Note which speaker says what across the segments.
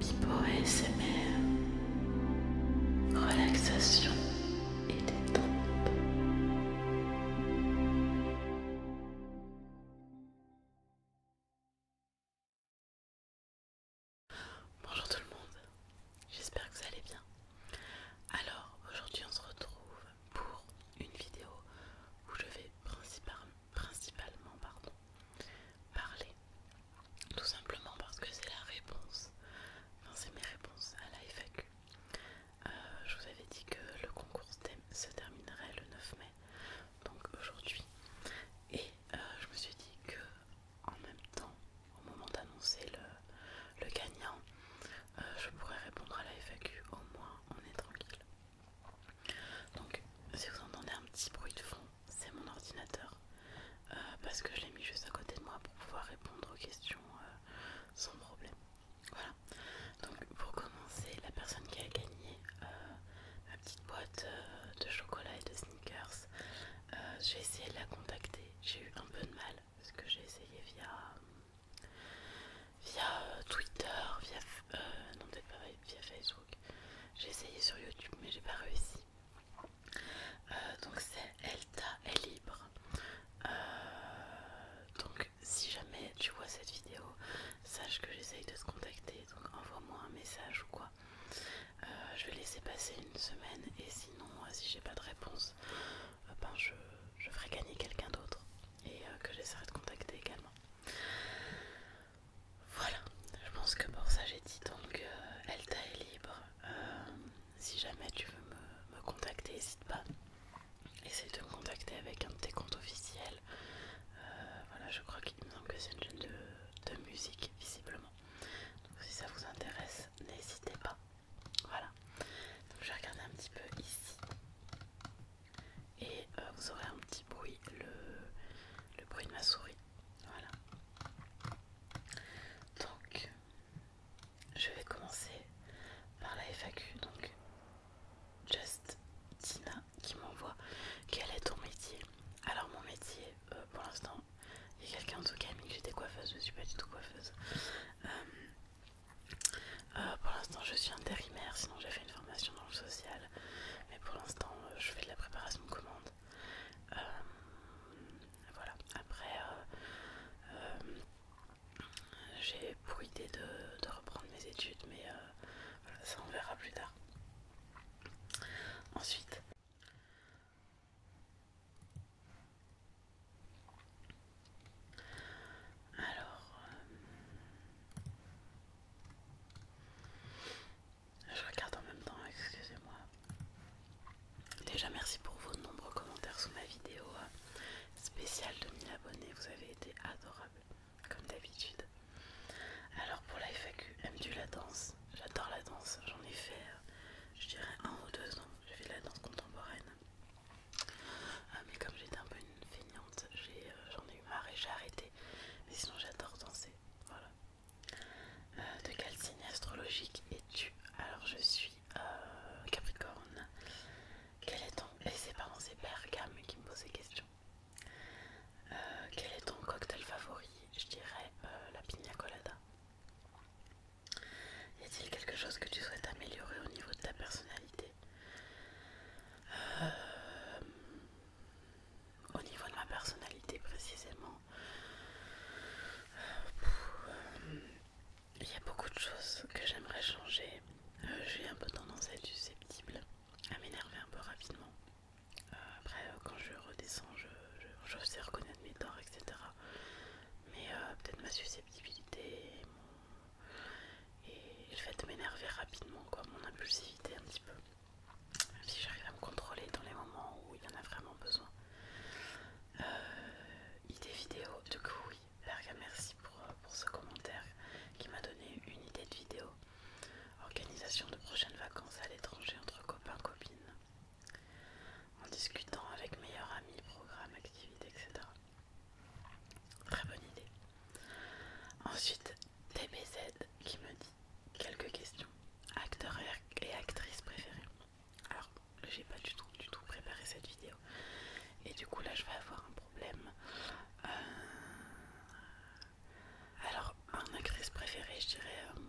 Speaker 1: Pipo SMR relaxation et détente. Bonjour tout le monde, j'espère que vous allez bien. Alors aujourd'hui on se retrouve pour une vidéo où je vais principalement principalement pardon, parler. Tout simplement parce que c'est la réponse, enfin c'est mes réponses à la FAQ. Euh, je vous avais dit que le concours se terminerait le 9 mai, donc aujourd'hui. Et euh, je me suis dit que en même temps, au moment d'annoncer le, gagnant, euh, je pourrais répondre à la FAQ. Au moins, on est tranquille. Donc si vous entendez un petit bruit de fond, c'est mon ordinateur. Euh, parce que je l'ai mis juste à côté de moi pour pouvoir répondre aux questions euh, sans problème. Voilà. Donc pour commencer, la personne qui a gagné euh, ma petite boîte de chocolat et de sneakers, j'ai essayé de la contacter. J'ai eu un peu de mal parce que j'ai essayé via via Twitter, via euh, non peut-être pas via Facebook. J'ai essayé sur YouTube mais j'ai pas réussi. Euh, donc c'est Elta est libre. Euh, donc si jamais tu vois cette vidéo, sache que j'essaye de te contacter. Donc envoie-moi un message ou quoi. Euh, je vais laisser passer une semaine et sinon si j'ai pas de réponse, ben je, ferai gagner quelqu'un d'autre et que j'essaierai de contacter également. Voilà, je pense que pour ça j'ai dit donc euh, Elta est libre. Euh, si jamais tu veux me, contacter, n'hésite pas. Essaye de me contacter avec un de tes comptes officiels. Euh, voilà, je crois qu'il me semble que c'est une chaîne de, de musique, visiblement. Donc si ça vous intéresse, n'hésitez pas. Voilà. Donc je vais regarder un petit peu ici et euh, vous aurez un petit bruit, le, bruit de ma souris. Voilà. Donc, je vais commencer par la FAQ. Donc, Justina qui m'envoie quel est ton métier. Alors, mon métier, euh, pour l'instant, il y a quelqu'un en tout cas qui a mis que j'étais coiffeuse, je ne suis pas du tout coiffeuse. Euh, pour l'instant, je suis intérimaire, sinon j'ai fait une formation dans le social mais pour l'instant, euh, je fais de la préparation de commande. Euh, voilà, après, euh, j'ai pour idée de, reprendre mes études, mais ça on verra plus tard. Ensuite, alors, je regarde en même temps, excusez-moi. Déjà merci pour vos nombreux commentaires sous ma vidéo euh, spéciale de 1000 abonnés, vous avez été adorables, comme d'habitude. Alors pour la FAQ, aimes la danse J'adore la danse, j'en ai fait, euh, je dirais un ou deux ans, j'ai fait de la danse contemporaine. Euh, mais comme j'étais un peu une feignante, j'en ai eu marre et j'ai arrêté. Mais sinon, j'adore danser. Voilà. Euh, de quel signe astrologique es-tu Alors, je suis euh, Capricorne. Quel est ton. Et eh, c'est, pardon, c'est qui me pose ces questions. Euh, quel est ton cocktail favori Je dirais la pina colada. Y a-t-il quelque chose que tu souhaites améliorer au niveau de ta personnalité au niveau de ma personnalité précisément, il y a beaucoup de choses que j'aimerais changer. Euh, j'ai un peu tendance à être susceptible, à m'énerver un peu rapidement. Euh, après, euh, quand je redescends, je, sais reconnaître mes torts, etc. Mais peut-être ma susceptibilité et, le fait de m'énerver rapidement, quoi, mon impulsivité un petit peu. Même si j'arrive à me contrôler dans les moments où il y en a vraiment besoin. Euh, idée vidéo, du coup oui, Larga merci pour, euh, pour ce commentaire qui m'a donné une idée de vidéo. Organisation de prochaines vacances à l'étranger entre copains, copines. En discutant avec meilleurs amis, programmes, activités, etc. Très bonne idée. Ensuite, DBZ qui me dit quelques questions. Acteur et actrice préférée. Alors, j'ai pas du tout, du tout préparé cette vidéo. Et du coup, là, je vais avoir un problème. Euh, alors, un actrice préférée, je dirais euh,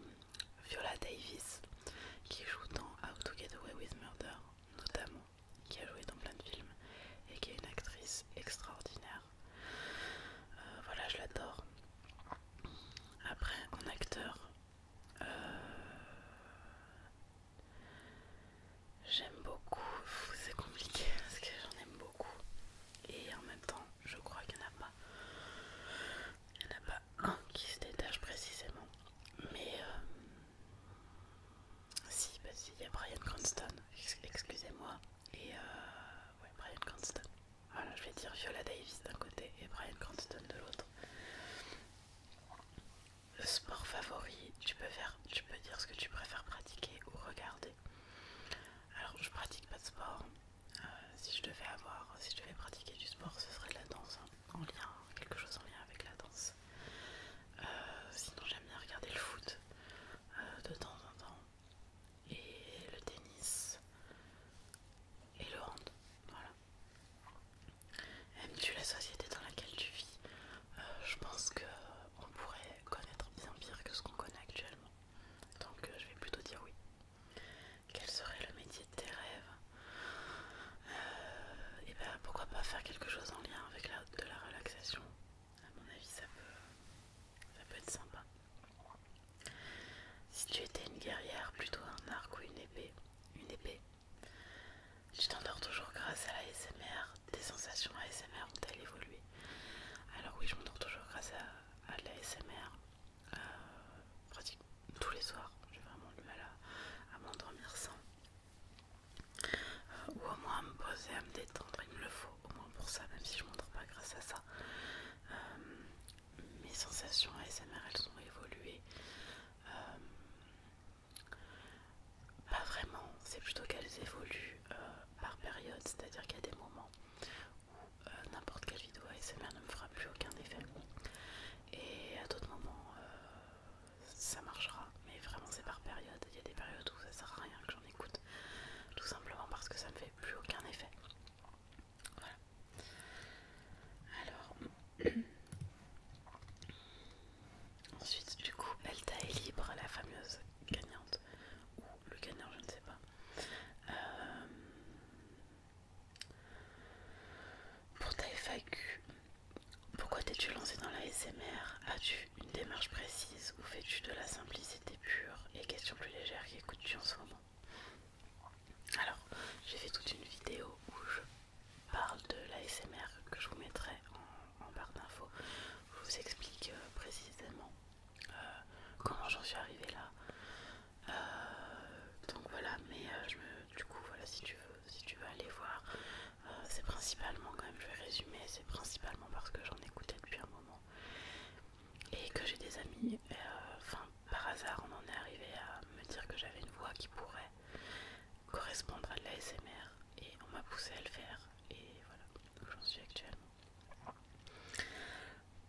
Speaker 1: Viola Davis, qui joue dans How to Get Away with Murder, notamment, qui a joué dans plein de films, et qui est une actrice extraordinaire. Euh, voilà, je l'adore. Après, en acteur, euh, j'aime beaucoup. C'est compliqué parce que j'en aime beaucoup. Et en même temps, je crois qu'il n'y en a pas. Il pas un qui se détache précisément. Mais euh, si, bah si, il y a Brian Cranston, excusez-moi. Et euh, ouais, Brian Cranston. Voilà, je vais dire Viola Davis d'un côté et Brian Cranston de l'autre. sport favori, tu peux, faire, tu peux dire ce que tu préfères pratiquer ou regarder. Alors, je pratique pas de sport. Euh, si je devais avoir, si je devais pratiquer du sport, ce serait de la danse, hein. en lien, quelque chose en lien avec la danse. Euh, sinon, j'aime bien regarder le foot. Euh, de temps en temps, et le tennis et le hand. Voilà. Aimes-tu la société dans laquelle tu vis euh, Je pense que on pourrait connaître bien pire que ce qu'on connaît actuellement. Donc euh, je vais plutôt dire oui. Quel serait le métier de tes rêves Et eh ben pourquoi pas faire quelque chose en lien avec de la relaxation à mon avis ça peut, ça peut être sympa. Si tu étais une guerrière, plutôt un arc ou une épée, une épée, tu t'endors toujours grâce à la SMR. Tes sensations ASMR ont-elles évolué Alors oui, je m'endors toujours grâce à, la SMR. Euh, tous les soirs. J'ai vraiment du mal à m'endormir sans ou au moins à me poser à me détendre, il me le faut au moins pour ça, même si je montre pas grâce à ça. Euh, mes sensations ASMR elles ont évolué, euh, pas vraiment, c'est plutôt qu'elles évoluent euh, par période, c'est-à-dire qu'il y a des moments où n'importe quelle vidéo ASMR ne me fera plus aucun effet, et à d'autres moments ça marchera, mais vraiment c'est par période il y a des périodes où ça sert à rien que j'en écoute, tout simplement parce que ça ne fait plus aucun effet. Voilà. Alors, ensuite, du coup, elle est libre, la fameuse gagnante, ou le gagnant, je ne sais pas. Euh, pour ta FAQ, pourquoi t'es-tu lancé dans la SMR as une démarche précise ou fais-tu de la simplicité pure et questions plus légères qui écoutes-tu en ce moment Alors, j'ai fait toute une vidéo où je parle de l'ASMR que je vous mettrai en, barre d'infos. Je vous explique euh, précisément euh, comment j'en suis arrivée là. Euh, donc voilà, mais je me, du coup, voilà, si tu veux, si tu veux aller voir, euh, c'est principalement, quand même, je vais résumer, c'est principalement parce que j'en écoutais depuis un moment et que j'ai des amis. Euh, enfin, par hasard, on en est arrivé à me dire que j'avais une voix qui pourrait correspondre à de l'ASMR et on m'a poussé à le faire et voilà où j'en suis actuellement.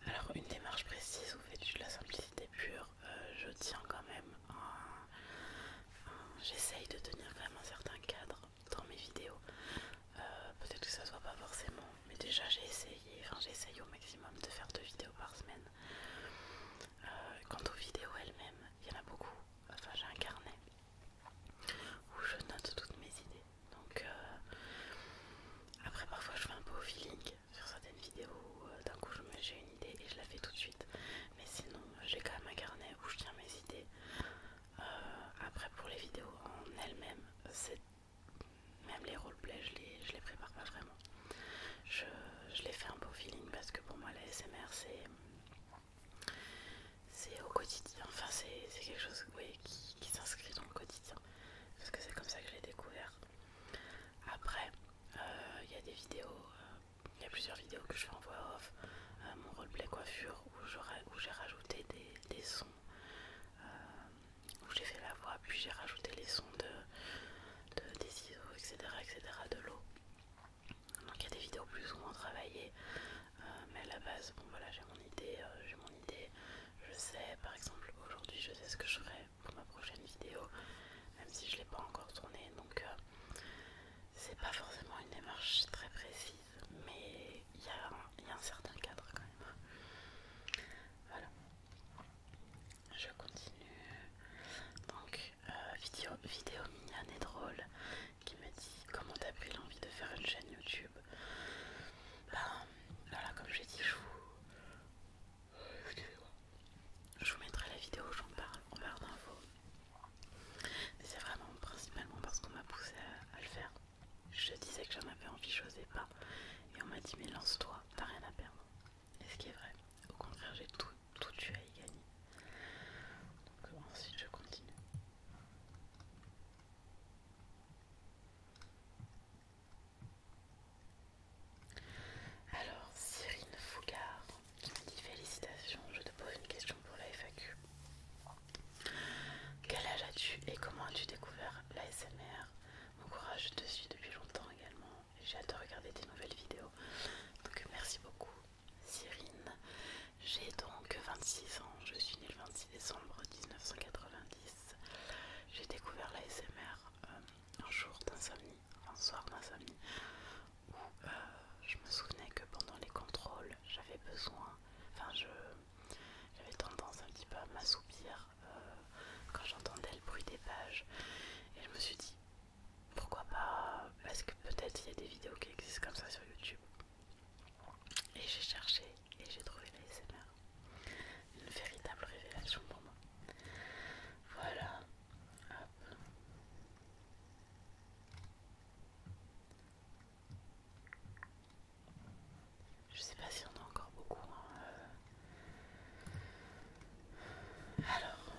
Speaker 1: Alors une démarche précise, ou faites de la simplicité pure, euh, je tiens quand même j'essaye de tenir quand même un certain cadre dans mes vidéos. Euh, peut-être que ça se voit pas forcément, mais déjà j'ai essayé, enfin j'essaye au maximum de faire deux vidéos par semaine. Euh, quant aux vidéos elles-mêmes, il y en a beaucoup, enfin j'ai un carnet où je note toutes mes idées. Donc euh, après parfois je fais un peu au feeling sur certaines vidéos, d'un coup j'ai une idée et je la fais tout de suite. Mais sinon j'ai quand même un carnet où je tiens mes idées. Euh, après pour les vidéos en elles-mêmes, même les roleplays je les, je les prépare pas vraiment. Je, les fais un peu feeling parce que pour moi la SMR c'est c'est au quotidien, enfin c'est quelque chose qui, s'inscrit dans le quotidien parce que c'est comme ça que je l'ai découvert. Après, euh, il y a des vidéos, euh, il y a plusieurs vidéos que je fais en voix off, mon roleplay coiffure où j'ai rajouté des, sons, euh, où j'ai fait la voix, puis j'ai rajouté les sons de, des ciseaux, etc., etc., de l'eau. Donc il y a des vidéos plus ou moins travaillées, euh, mais à la base, bon voilà, j'ai mon idée, euh, j'ai mon idée. Je sais, par exemple, aujourd'hui, je sais ce que je ferai pour ma prochaine vidéo, même si je ne l'ai pas encore tournée, donc c'est pas forcément une démarche très précise mais il y, a un certain cadre quand même. Voilà. Je continue. Donc, euh, vidéo, vidéo mignonne et drôle qui me dit comment t'as pris l'envie de faire une chaîne YouTube. Ben, voilà, comme j'ai dit, je vous. Je vous mettrai la vidéo où j'en parle en barre d'infos. Mais c'est vraiment principalement parce qu'on m'a poussé à, le faire. Je disais que j'en avais envie, j'osais pas. Et on m'a dit mais lance-toi, t'as rien à perdre. Et ce qui est vrai, au contraire j'ai tout, tout à y gagner. Donc euh, ensuite je continue. Alors, Cyrine Fougard qui me dit félicitations, je te pose une question pour la FAQ. Quel âge as-tu et comment as-tu découvert l'ASMR Mon courage, je te suis depuis longtemps également et j'ai hâte de regarder tes nouvelles vidéos. Donc merci beaucoup Cyrine. J'ai donc 26 ans, je suis née le 26 décembre 1990. J'ai découvert l'ASMR euh, un jour d'insomnie, un soir d'insomnie où euh, je me souvenais que pendant les contrôles, j'avais besoin, enfin j'avais tendance un petit peu à m'assoupir euh, quand j'entendais le bruit des pages. Et je me suis dit, pourquoi pas, parce que peut-être il y a des vidéos qui existent comme ça sur YouTube. Et j'ai cherché et j'ai trouvé la Une véritable révélation pour moi. Voilà. Je sais pas si on a encore beaucoup. Hein. Euh. Alors,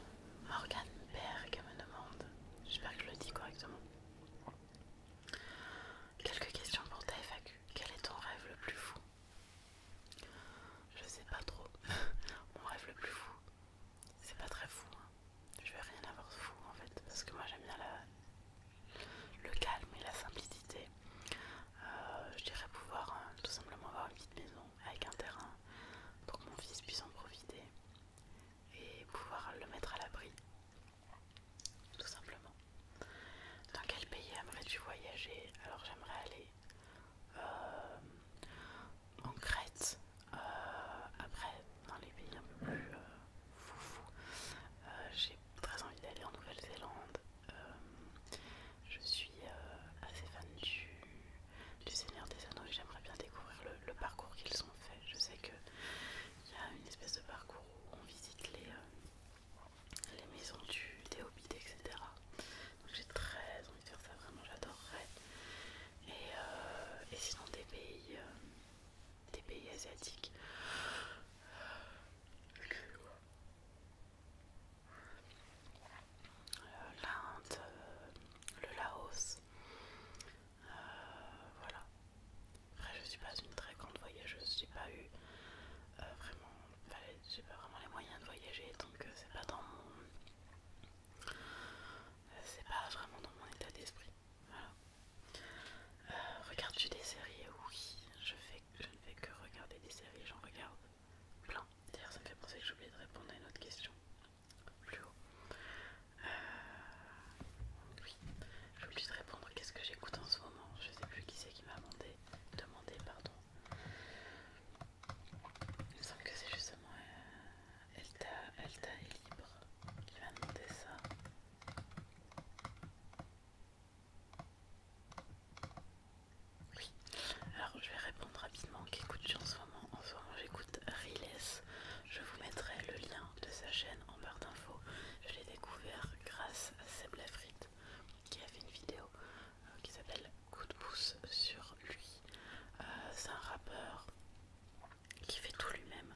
Speaker 1: Morgan Berg me demande, j'espère que je le dis correctement. Quelques questions pour ta FAQ. Quel est ton rêve le plus fou Je sais pas trop. Mon rêve le plus fou, c'est pas très fou. Hein. Je vais rien avoir de fou en fait. Parce que moi j'aime bien le calme et la simplicité. Euh, je dirais pouvoir euh, tout simplement avoir une petite maison avec un terrain pour que mon fils puisse en profiter et pouvoir le mettre à l'abri. Tout simplement. Dans quel pays aimerais-tu voyager Alors j'aimerais aller euh, en Crète. Euh, après, dans les pays un peu plus foufous, euh, foufou, euh, j'ai très envie d'aller en Nouvelle-Zélande. je suis assez fan du, Seigneur des Anneaux et j'aimerais bien découvrir le, parcours qu'ils ont fait. Je sais qu'il y a une espèce de parcours où on visite les, les maisons du, des etc. Donc j'ai très envie de faire ça, vraiment j'adorerais et, euh, et sinon des pays, euh, des pays asiatiques. Euh, L'Inde, le Laos, voilà. Après, je suis pas une très grande voyageuse, j'ai pas eu vraiment, vraiment les moyens de voyager, donc c'est pas dans mon, c'est pas vraiment dans mon état d'esprit. Voilà. Euh, regarde tu des séries Oui, je, fais, je ne fais que regarder des séries, j'en regarde plein. D'ailleurs, ça me fait penser que j'ai oublié de répondre à une autre question plus haut. Euh, oui, j'ai oublié de répondre qu'est-ce que j'écoute en ce moment. Je sais plus qui c'est qui m'a demandé, demandé, pardon. Il me semble que c'est justement euh, Elta, Elta est libre, qui m'a demandé ça. Oui, alors je vais répondre rapidement qu'écoute-tu en ce moment En ce moment j'écoute Riles, je vous mettrai le lien de sa chaîne en barre d'infos. Je l'ai découvert grâce à Seb Lafrit qui a fait une vidéo euh, qui s'appelle Coup de pouce sur lui. Euh, c'est un rappeur qui fait tout lui-même,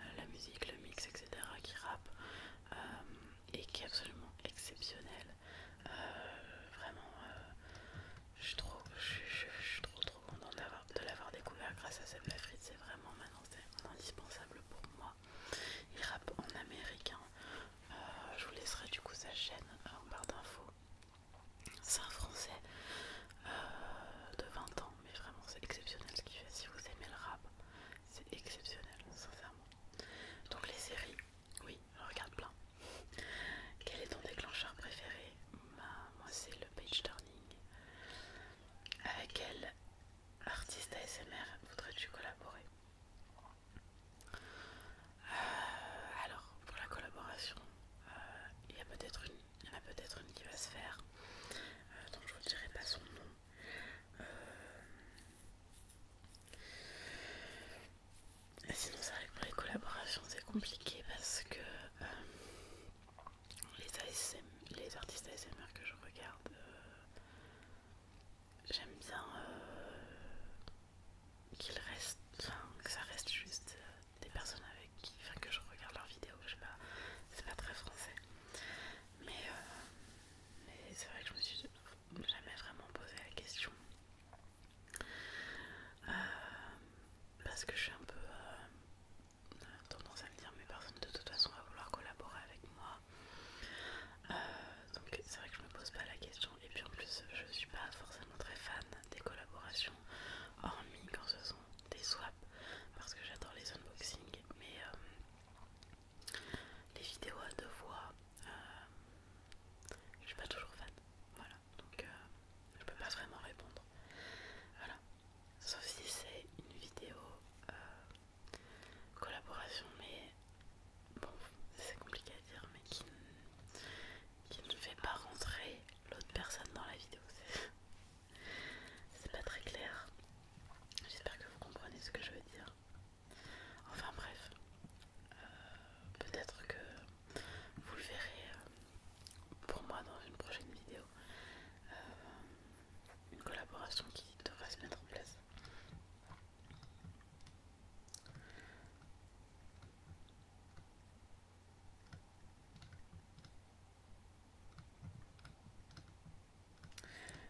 Speaker 1: euh, la musique, le mix, etc., qui rappe euh, et qui est absolument exceptionnel. Euh, vraiment, je suis trop, trop, contente de l'avoir découvert grâce à Seb Fritz. C'est vraiment maintenant indispensable pour moi. Il rappe en américain. je vous laisserai du coup sa chaîne en barre d'infos. C'est un français euh, de 20 ans, mais vraiment c'est exceptionnel ce qu'il fait. Si vous aimez le rap, c'est exceptionnel, sincèrement. Donc les séries, oui, je regarde plein. Quel est ton déclencheur préféré bah, Moi c'est le page turning. Avec quel artiste ASMR voudrais-tu collaborer euh, alors, pour la collaboration, euh, il y a peut-être une il y en a peut-être une qui va se faire. Euh, donc je vous dirai pas son nom. Euh, sinon c'est vrai que pour les collaborations c'est compliqué parce que euh, les, les artistes ASMR que je regarde, j'aime bien qu'il reste, enfin, que ça reste juste des personnes avec qui, enfin que je regarde leurs vidéos, je sais pas, c'est pas très français. Mais, euh, c'est vrai que je me suis jamais vraiment posé la question. Euh, parce que je suis un peu euh, tendance à me dire mais personne de toute façon va vouloir collaborer avec moi. donc c'est vrai que je me pose pas la question. Et puis en plus je suis pas forcément très fan des collaborations, hormis quand ce sont des swaps parce que j'adore les unboxings mais euh, les vidéos à deux voix euh, je suis pas toujours fan voilà donc euh, je peux pas vraiment répondre voilà sauf si c'est une vidéo collaboration mais bon c'est compliqué à dire mais qui qui ne fait pas rentrer l'autre personne dans la vidéo. C'est pas très clair. J'espère que vous comprenez ce que je veux dire. Enfin bref, euh, peut-être que vous le verrez euh, pour moi dans une prochaine vidéo. Euh, une collaboration qui devrait se mettre en place.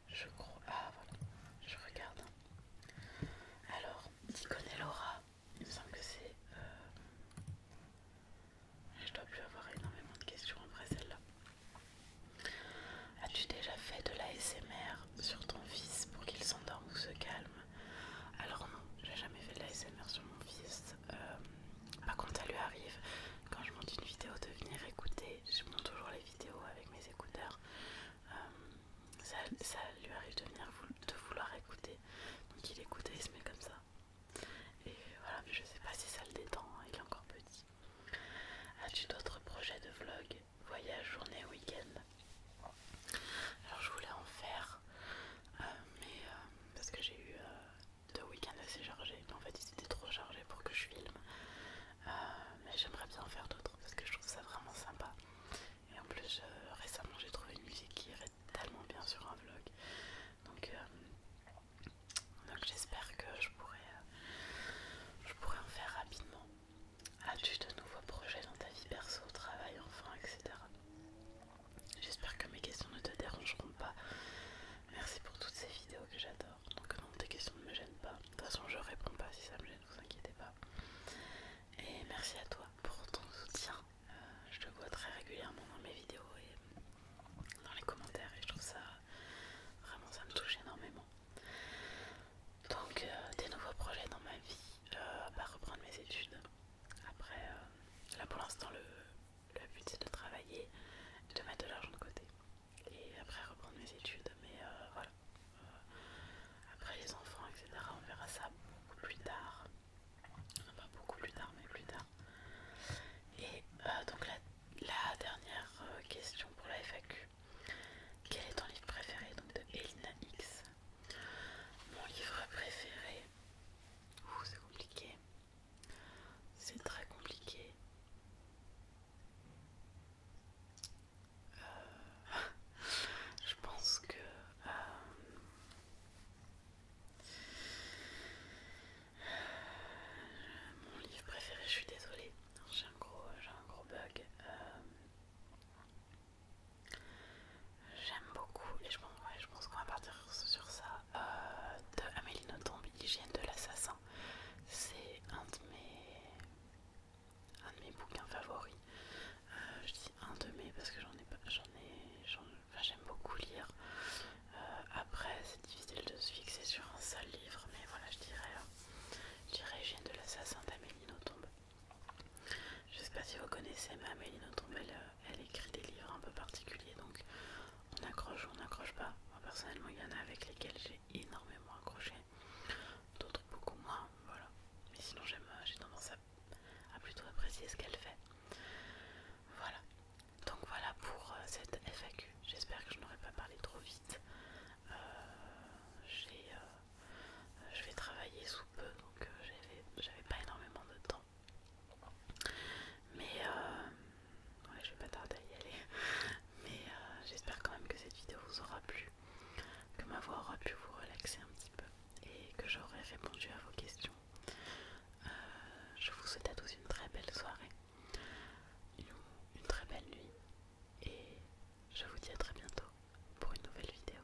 Speaker 1: Je crois. Ah voilà, je regarde. Alors, connais Laura, il me semble que c'est. Euh, je dois plus avoir énormément de questions après celle-là. As-tu déjà fait de l'ASMR sur ton fils pour qu'il s'endorme ou se calme alors non, j'ai jamais fait de la sur mon fils. Euh, par contre, ça lui arrive quand je monte une vidéo de venir écouter. Je monte toujours les vidéos avec mes écouteurs. Euh, ça, lui arrive de venir de vouloir écouter. Donc il écoute et il se met comme ça. Et voilà, mais je sais pas si ça le détend, hein, il est encore petit. As-tu d'autres projets de vlog Voyage, journée, week-end alors je voulais en faire euh, mais euh, parce que j'ai eu euh, deux week-ends assez chargés, mais en fait ils étaient trop chargés pour que je filme. mais j'aimerais bien en faire d'autres parce que je trouve ça vraiment sympa. Et en plus récemment j'ai trouvé une musique qui irait tellement bien sur un vlog. Donc, j'espère que je pourrais je pourrais en faire rapidement. As-tu de nouveaux projets dans ta vie perso, travail, enfin etc. J'espère que mes questions ne te dérangeront pas. Merci pour toutes ces vidéos que j'adore. Donc non, tes questions ne me gênent pas. De toute façon, je réponds pas si ça me gêne, vous inquiétez pas. Et merci à toi pour ton soutien. Euh, je te vois très régulièrement dans mes vidéos et dans les commentaires et je trouve ça vraiment ça me touche énormément. Donc euh, des nouveaux projets dans ma vie, euh, à reprendre mes études. Après, euh, là pour l'instant, le, but c'est de travailler, de mettre de l'argent de côté et après reprendre mes études. Mais euh, voilà, euh, après les enfants, etc., on verra ça beaucoup plus tard. pas beaucoup plus tard, mais plus tard. Et donc, la, dernière question pour la FAQ. Quel est ton livre préféré donc de Elina X mon livre préféré, c'est compliqué, c'est très compliqué. Euh, je pense que euh, mon livre préféré, je suis désolée, j'ai un, un gros bug. Euh, J'aime beaucoup, et je pense, qu'on va partir sur ça, euh, de Amélie Nothomb, Hygiène de l'assassin. C'est un de mes un de mes bouquins favoris. Euh, je dis un de mes parce que j'en ai pas, j'en ai, j'aime beaucoup lire. Euh, après, c'est difficile de se fixer sur un seul livre, mais voilà, je dirais, je dirais Hygiène de l'assassin d'Amélie Nothomb. Je sais pas si vous connaissez, ma Méline Notre-Belle, euh, elle écrit des livres un peu particuliers, donc on accroche ou on n'accroche pas. Moi personnellement, il y en a avec lesquels j'ai énormément accroché, d'autres beaucoup moins, voilà. Mais sinon, euh, j'ai tendance à, plutôt apprécier ce qu'elle fait. Voilà. Donc voilà pour euh, cette FAQ. J'espère que je n'aurai pas parlé trop vite. je vais travailler sous peu, donc euh, j'avais pas énormément de temps. Mais euh, je vais pas tarder à y aller. Mais euh, j'espère quand même que cette vidéo vous aura plu, que ma voix aura pu vous relaxer un petit peu et que j'aurai répondu à vos questions. je vous souhaite à tous une très belle soirée, une très belle nuit et je vous dis à très bientôt pour une nouvelle vidéo.